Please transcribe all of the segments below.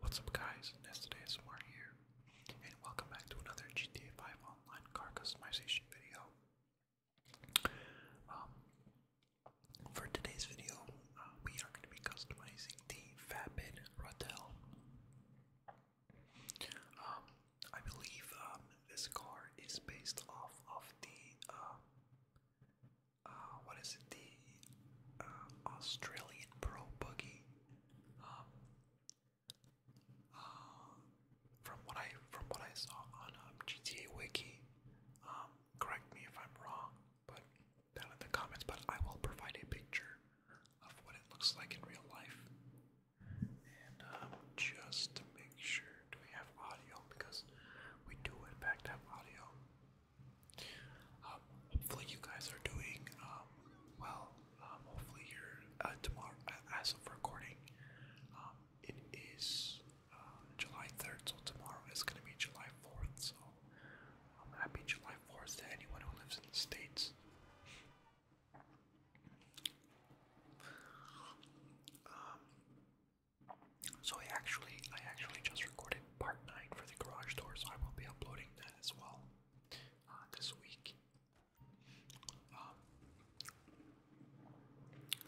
What's up guys, It's ASMR here, and welcome back to another GTA 5 Online car customization video. Um, for today's video, uh, we are going to be customizing the Fabid Radel. Um, I believe um, this car is based off of the, uh, uh, what is it, the um, Australian Pro Boogie. Um, uh, from what I from what I saw on um, GTA Wiki, correct me if I'm wrong, but down in the comments. But I will provide a picture of what it looks like in real life. And just to make sure, do we have audio? Because we do in fact have audio. Um, hopefully you guys are doing um, well. Um, hopefully you're uh, tomorrow uh, as of recording. it is uh, July 3rd, so tomorrow is going to be July 4th. So um, happy July 4th to anyone who lives in the states. so I actually, I actually just recorded part nine for the garage door, so I will be uploading that as well uh, this week. Um,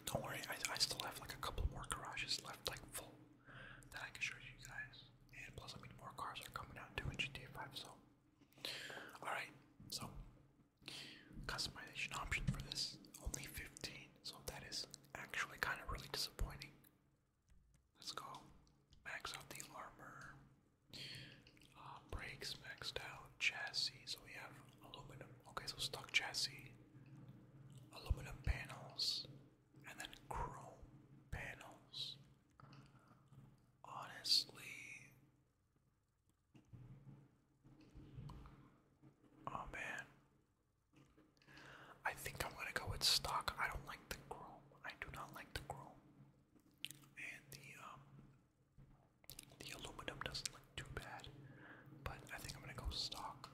don't worry, I, I still have like a couple more garages left, like full, that I can show you guys. And plus, I mean, more cars are coming out too in GTA 5, so. Alright, so customization option for this only 15, so that is actually kind of really disappointing. Let's go. Max out the armor. Uh, brakes maxed out. Chassis. So we have aluminum. Okay, so stock chassis. Aluminum panels. And then chrome panels. Honestly. Oh man. I think I'm gonna go with stock. I don't like the chrome. I do not like the chrome, and the um, the aluminum doesn't look too bad. But I think I'm gonna go stock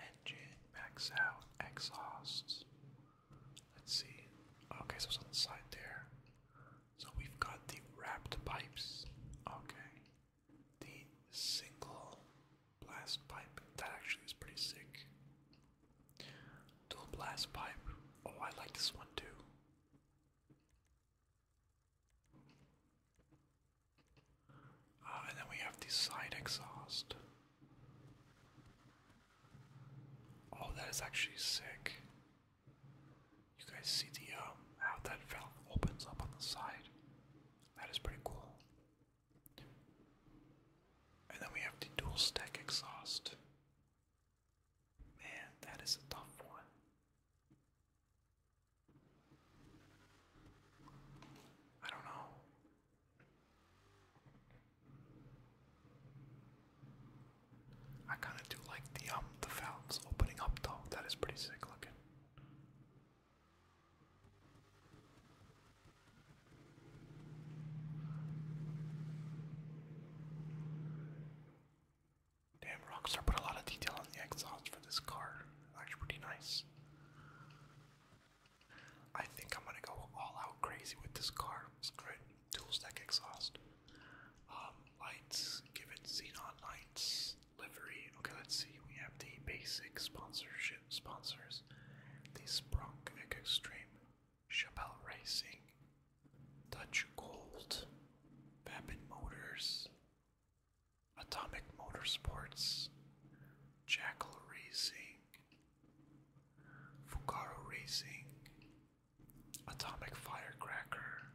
engine max out exhausts. Let's see. Okay, so it's on the side there. So we've got the wrapped pipes. Okay, the single blast pipe that actually is pretty sick. Dual blast pipe. Oh, I like this one too. Ah, and then we have the side exhaust. Oh, that is actually sick. You guys see the um, how that valve opens up on the side? That is pretty cool. And then we have the dual stack exhaust. Man, that is a tough one. I don't know. I kind of do like the um the valves opening up though. That is pretty sick looking. Damn, Rockstar put a lot of detail on the exhaust for this car. Actually, pretty nice. I think I'm gonna go all out crazy with this car. Screw it, stack exhaust. Um, lights, give it xenon lights. Livery. Okay, let's see. We have the basic sponsorship sponsors. The Sprunk Extreme Chappelle Racing, Dutch Gold, Babbitt Motors, Atomic Motorsports, Jackal Racing, Fugaro Racing, Atomic Firecracker,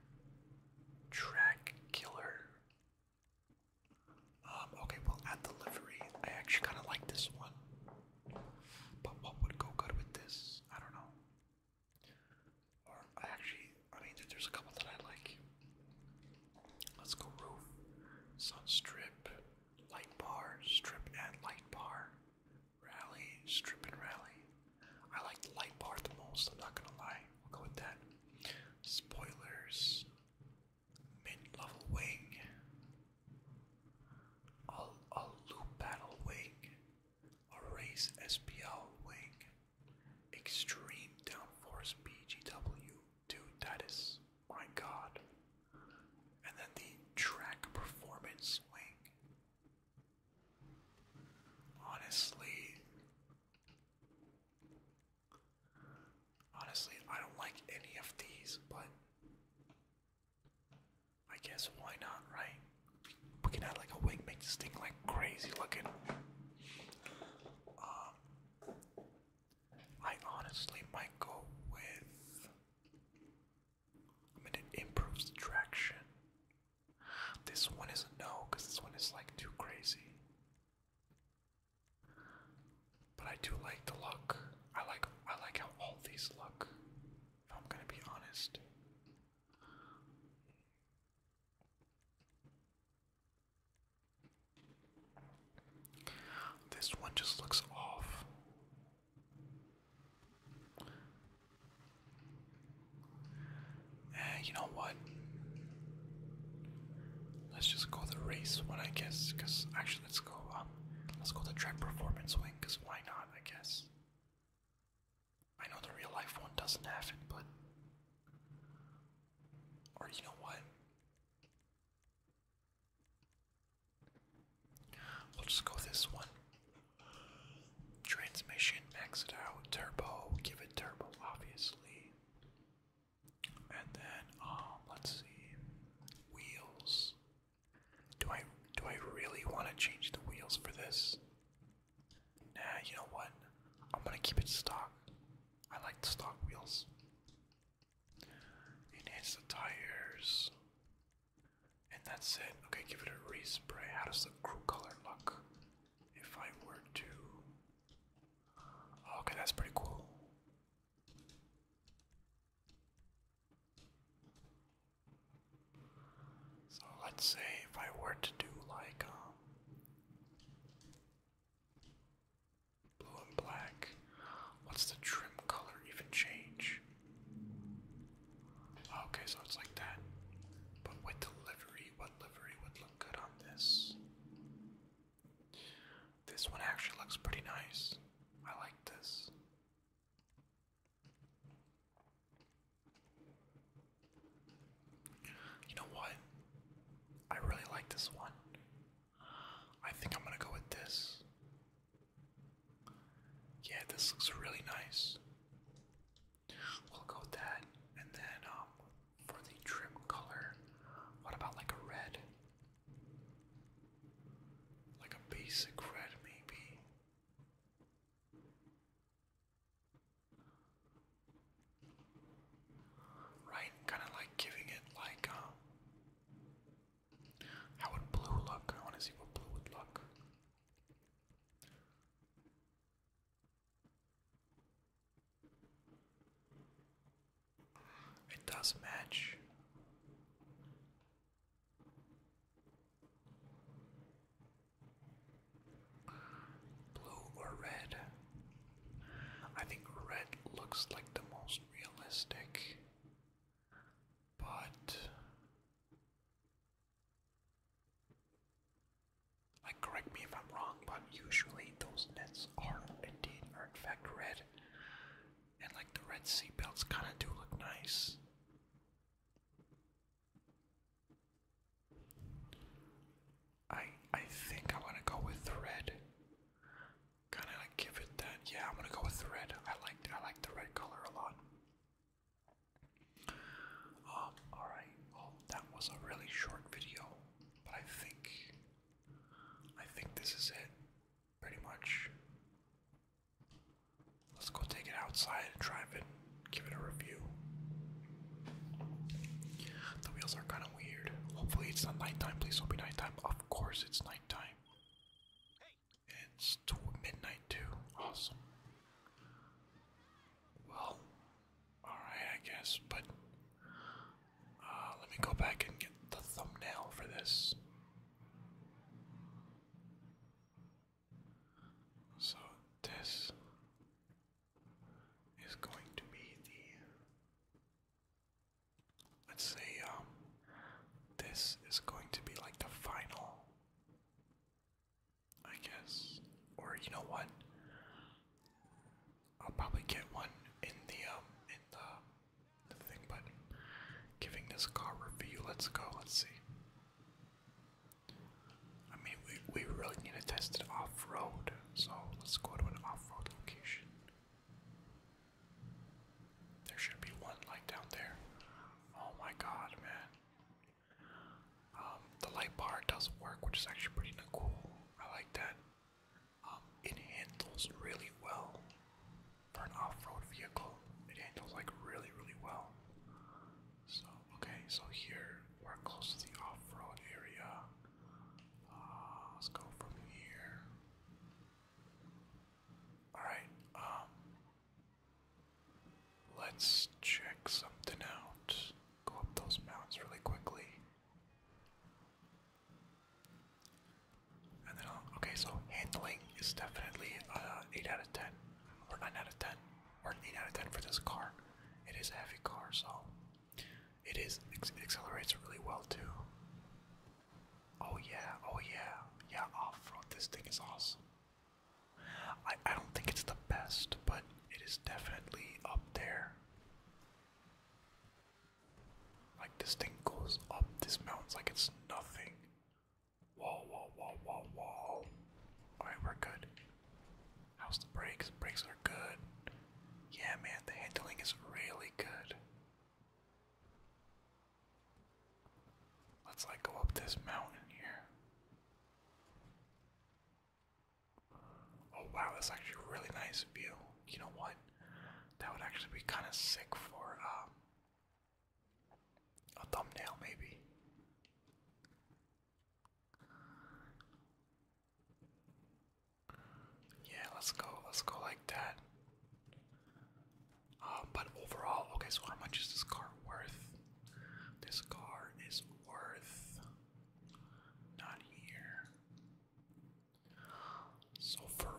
Track Killer. Um, okay, we add the livery. I actually kind of like this one. But what would go good with this? I don't know. Or I actually, I mean, there's a couple that I like. Let's go roof, sun light bar, strip and light bar, rally, strip and rally. I like the light bar the most. I'm not gonna lie. We'll go with that. Spoilers, mid level wing, I'll, loop battle wing, a race SPL wing, extreme downforce BGW to Titus, my god, and then the track performance wing. Honestly, honestly, I don't like any of these, but I guess why not, right? We can add like a wig, make this thing like crazy looking. Um, I honestly might go with. I mean, it improves traction. This one is a no, because this one is like too crazy. But I do like the look. I like I like how all these look. If I'm gonna be honest. This one just looks off. Eh, you know what? Let's just go the race one, I guess. Cause actually, let's go. Um, let's go the track performance wing. Cause why not? I guess. I know the real life one doesn't have it, but. Or you know what? We'll just go this one. Transmission, max it out. Turbo, give it turbo, obviously. And then, um, let's see. Wheels, do I do I really want to change the wheels for this? Nah, you know what? I'm gonna keep it stock. I like the stock wheels. Enhance the tires. And that's it. Okay, give it a respray. How does the crew color look? If I were to. Okay, that's pretty cool. So let's say if I were to do like um, blue and black, what's the trim color even change? Okay, so it's like that. But with the what livery would look good on this? This one actually looks pretty nice. I like this. You know what? I really like this one. I think I'm gonna go with this. Yeah, this looks really nice. We'll go with that, and then um, for the trim color, what about like a red? Like a basic red, maybe. Right? Kind of like giving it like, um. How would blue look? I want to see what blue would look. It does match. Blue or red? I think red looks like the most realistic, but like correct me if I'm wrong, but usually those nets are indeed are in fact red. And like the red seatbelts kinda do look nice. I I think I want to go with red. Kind of like give it that. Yeah, I'm gonna go with red. I like I like the red color a lot. Um. All right. Well, that was a really short video, but I think I think this is it, pretty much. Let's go take it outside and drive it, give it a review. The wheels are kind of weird. Hopefully, it's not nighttime. Please don't be nighttime. Of course, it's nighttime. It's midnight, too. Awesome. Well, alright, I guess, but uh, let me go back and get the thumbnail for this. So this is going to be the let's say um this is going to be like the final I guess or you know what I'll probably get one in the um in the the but giving this car review, let's go, let's see. I mean, we, we really need to test it off-road, so let's go to an off-road location. There should be one, like, down there. Oh my god, man. Um, the light bar does work, which is actually pretty cool. I like that. Um, it handles really well for an off-road vehicle, it handles like really, really well. So okay, so here we're close to the off-road area. Uh, let's go from here. All right. Um, let's check something out. Go up those mountains really quickly. Uh, okay, so handling is definitely uh, 8 out of 10, or 9 out of 10, or 8 out of 10 for this car. It is a heavy car, so it is, it accelerates really well too. Oh yeah, oh yeah, yeah, off-road, this thing is awesome. I, I don't think it's the best, but it is definitely up there. Like this thing goes up this mountain like it's nothing. Whoa, whoa, whoa, whoa, whoa. Alright, we're good. How's the brakes? Brakes are good. Yeah, man, the handling is really good. Let's like go up this mountain here. Oh wow, that's actually a really nice view. You know what? That would actually be kind of sick for um a thumbnail, maybe. Yeah, let's go. Let's go like that. Uh, but overall, okay. So how much is this car worth? This car is worth not here. So for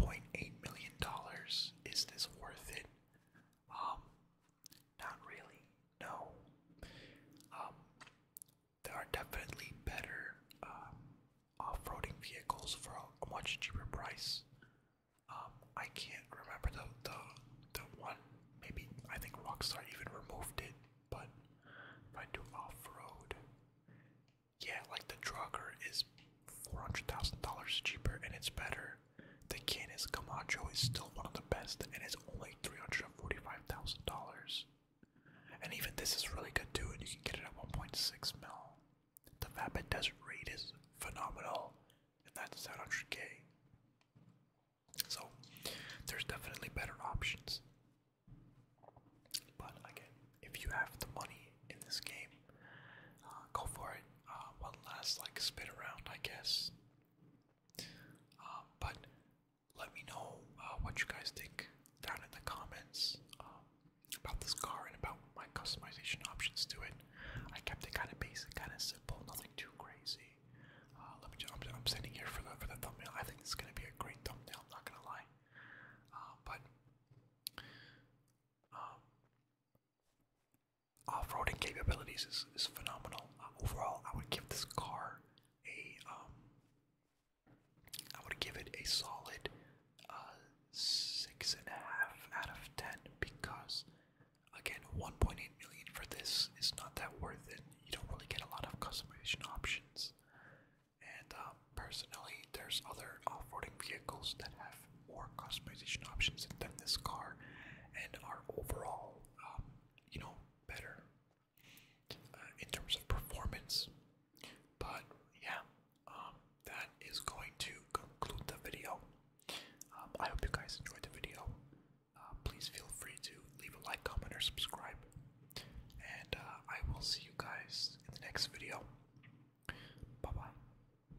1.8 million dollars, is this worth it? Um, not really, no. Um, there are definitely better um, off-roading vehicles for a, much cheaper price. Um, I can't remember the, the the one. Maybe I think Rockstar even removed it. But if I do off-road, yeah, like the Drugger is $400,000 cheaper and it's better. The Canis Camacho is still one of the best and it's only $345,000. And even this is really good too, and you can get it at 1.6 mil. The Vapid Desert Raid is phenomenal, and that's 700k. So, there's definitely better options. But again, if you have the money in this game, uh, go for it uh, one last like spin around, I guess. Um, but let me know uh, what you guys think down in the comments um, about this car and about my customization options to it. I kept it kind of basic, kind of simple, nothing too crazy. Uh, let me. Just, I'm, standing here for the for the thumbnail. I think it's gonna be a great thumbnail. not gonna lie. Uh, but um, off-roading capabilities is, is phenomenal. Um, overall, I would give this car a, um, would give it a solid uh, six and a half out of ten because, again, 1.8 million for this is not that worth it. You don't really get a lot of customization options, and um, personally, there's other off-roading vehicles that have or customization options than this car and are overall, um, you know, better uh, in terms of performance. But yeah, um, that is going to conclude the video. Um, I hope you guys enjoyed the video. Uh, please feel free to leave a like, comment, or subscribe. And uh, I will see you guys in the next video. Bye bye.